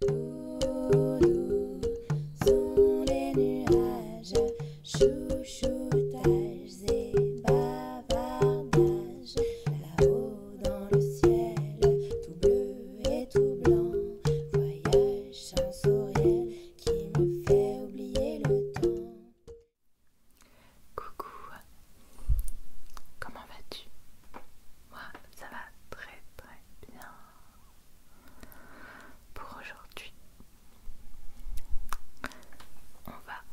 Doudous sont les nuages, chouchoutages et bavardages. Là-haut dans le ciel, tout bleu et tout blanc, voyage sourire qui me fait oublier le temps. Coucou, comment vas-tu? ça va très très bien. Pour aujourd'hui, on va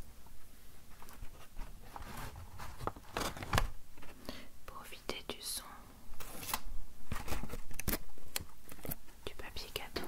profiter du son du papier cadeau.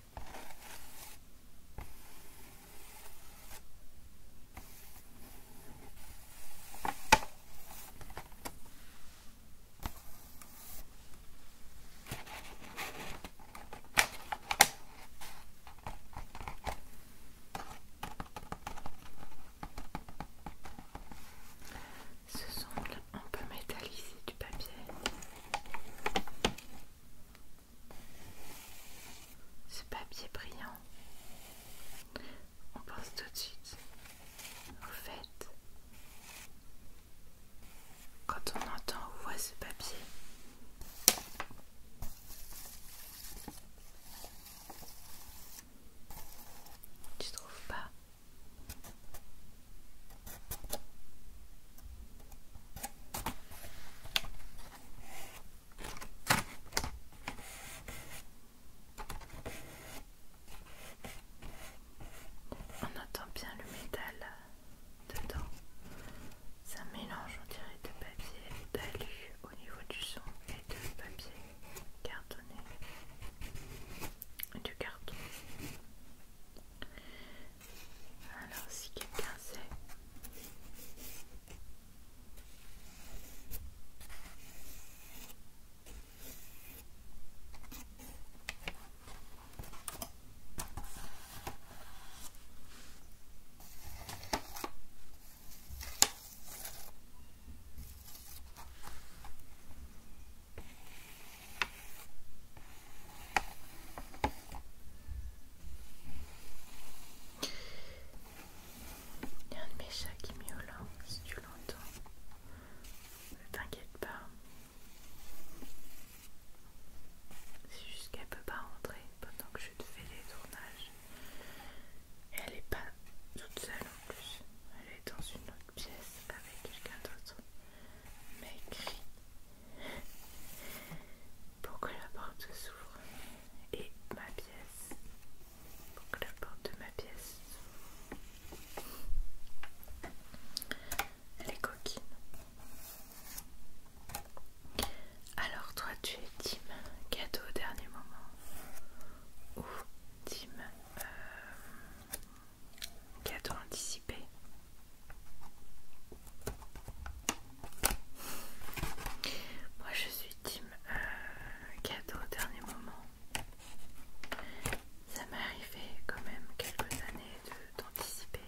Ce semble un peu métallisé du papier. Ce papier brillant, on pense tout de suite au fait. Quand on entend ou voit ce papier, tu trouves pas on entend bien le métal dedans. C'est un mélange, on dirait, de papier d'alu au niveau du son et de papier cartonné. Du carton. Alors, si quelqu'un sait. Il y a un de mes chats qui miaule, hein, si tu l'entends. Ne t'inquiète pas. C'est juste qu'elle ne peut pas rentrer pendant que je te fais des tournages. Et elle n'est pas toute seule en plus. Elle est dans une autre pièce avec quelqu'un d'autre mais écrit pour que la porte s'ouvre et ma pièce pour que la porte de ma pièce s'ouvre elle est coquine alors toi tu es Tim cadeau au dernier moment ou Tim euh, Cadeau anticipé. Moi je suis team euh, cadeau au dernier moment. Ça m'est arrivé quand même quelques années d'anticiper.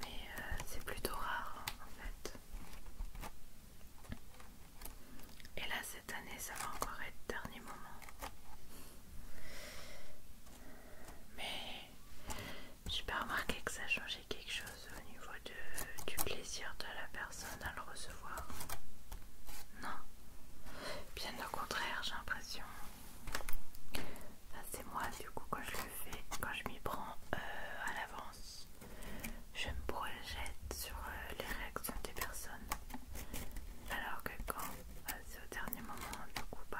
Mais euh, c'est plutôt rare hein, en fait. Et là cette année ça va encore être dernier moment. Mais j'ai pas remarqué que ça changeait quelque chose au niveau de, du plaisir de la personne à le recevoir. Non. Bien au contraire, j'ai l'impression. C'est moi du coup quand je le fais, quand je m'y prends euh, à l'avance, je me projette sur euh, les réactions des personnes alors que quand euh, c'est au dernier moment du coup bah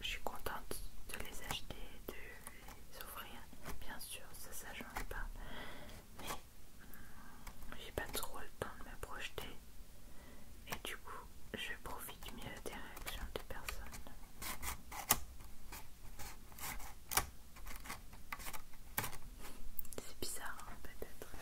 je suis contente de les acheter de les offrir bien sûr ça ça pas mais hmm, j'ai pas trop le temps de me projeter et du coup je profite mieux des réactions de personnes c'est bizarre hein, peut-être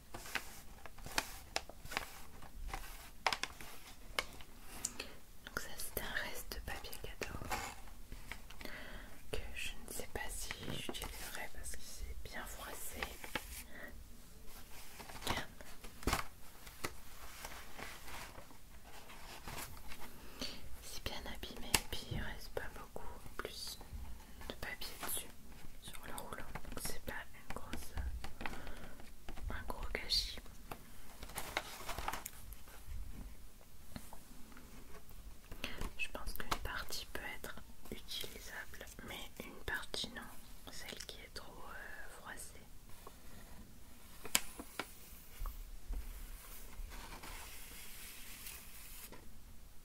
Donc ça c'est un reste de papier cadeau que je ne sais pas si j'utiliserai parce qu'il s'est bien froissé. C'est bien abîmé et puis il reste pas beaucoup plus de papier dessus sur le rouleau donc c'est pas un gros gâchis je pense qu'une partie peut être utilisable mais une partie non celle qui est trop euh, froissée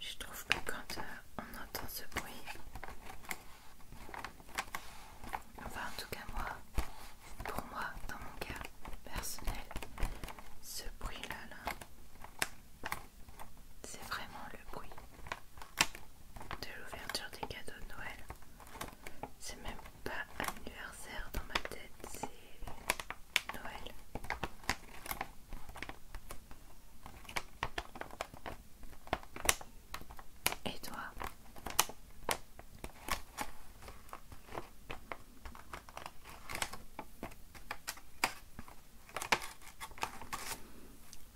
Je trouve que quand euh, on entend ce bruit, enfin en tout cas moi, pour moi, dans mon cas personnel, ce bruit là, là c'est vraiment le bruit de l'ouverture des cadeaux de Noël. C'est même pas anniversaire dans ma tête, c'est Noël. Et toi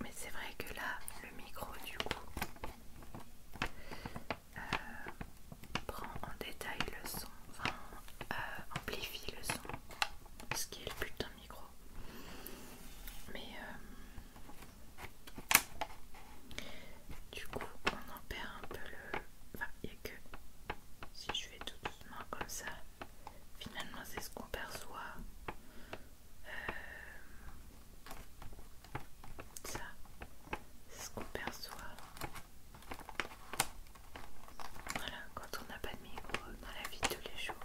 mais c'est vrai que là le micro du coup euh, prend en détail le son, enfin euh, amplifie le son, ce qui est le putain de micro. Mais euh, du coup on en perd un peu le... Enfin il n'y a que si je fais tout doucement comme ça, finalement c'est ce qu'on perçoit. Euh, ça, c'est ce qu'on perçoit. Voilà, quand on n'a pas de micro dans la vie de tous les jours.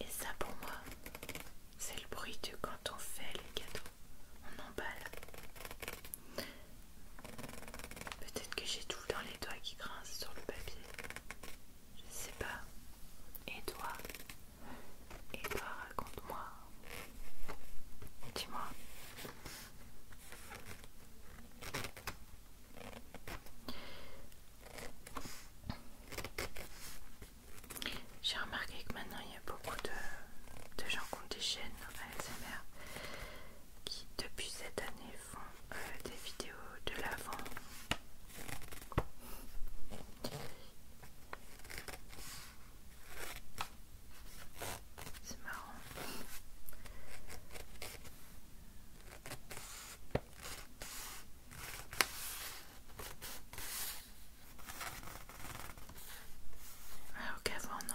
Et ça pour moi, c'est le bruit de quand on fait les cadeaux, on emballe. Peut-être que j'ai tout dans les doigts qui grincent sur le papier. Je sais pas. Et toi, et toi, raconte-moi. Dis-moi. J'ai remarqué que maintenant il y a beaucoup de, gens qui ont des chaînes ASMR qui depuis cette année font euh, des vidéos de l'avant c'est marrant. Alors ah, qu'avant non.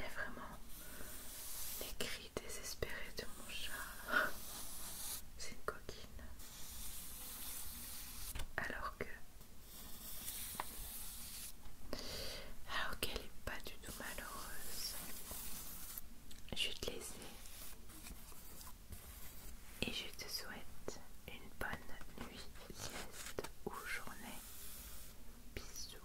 a vraiment, les cris désespérés de mon chat, c'est une coquine. Alors que. Alors qu'elle n'est pas du tout malheureuse. Je vais te laisser et je te souhaite une bonne nuit, sieste ou journée. Bisous.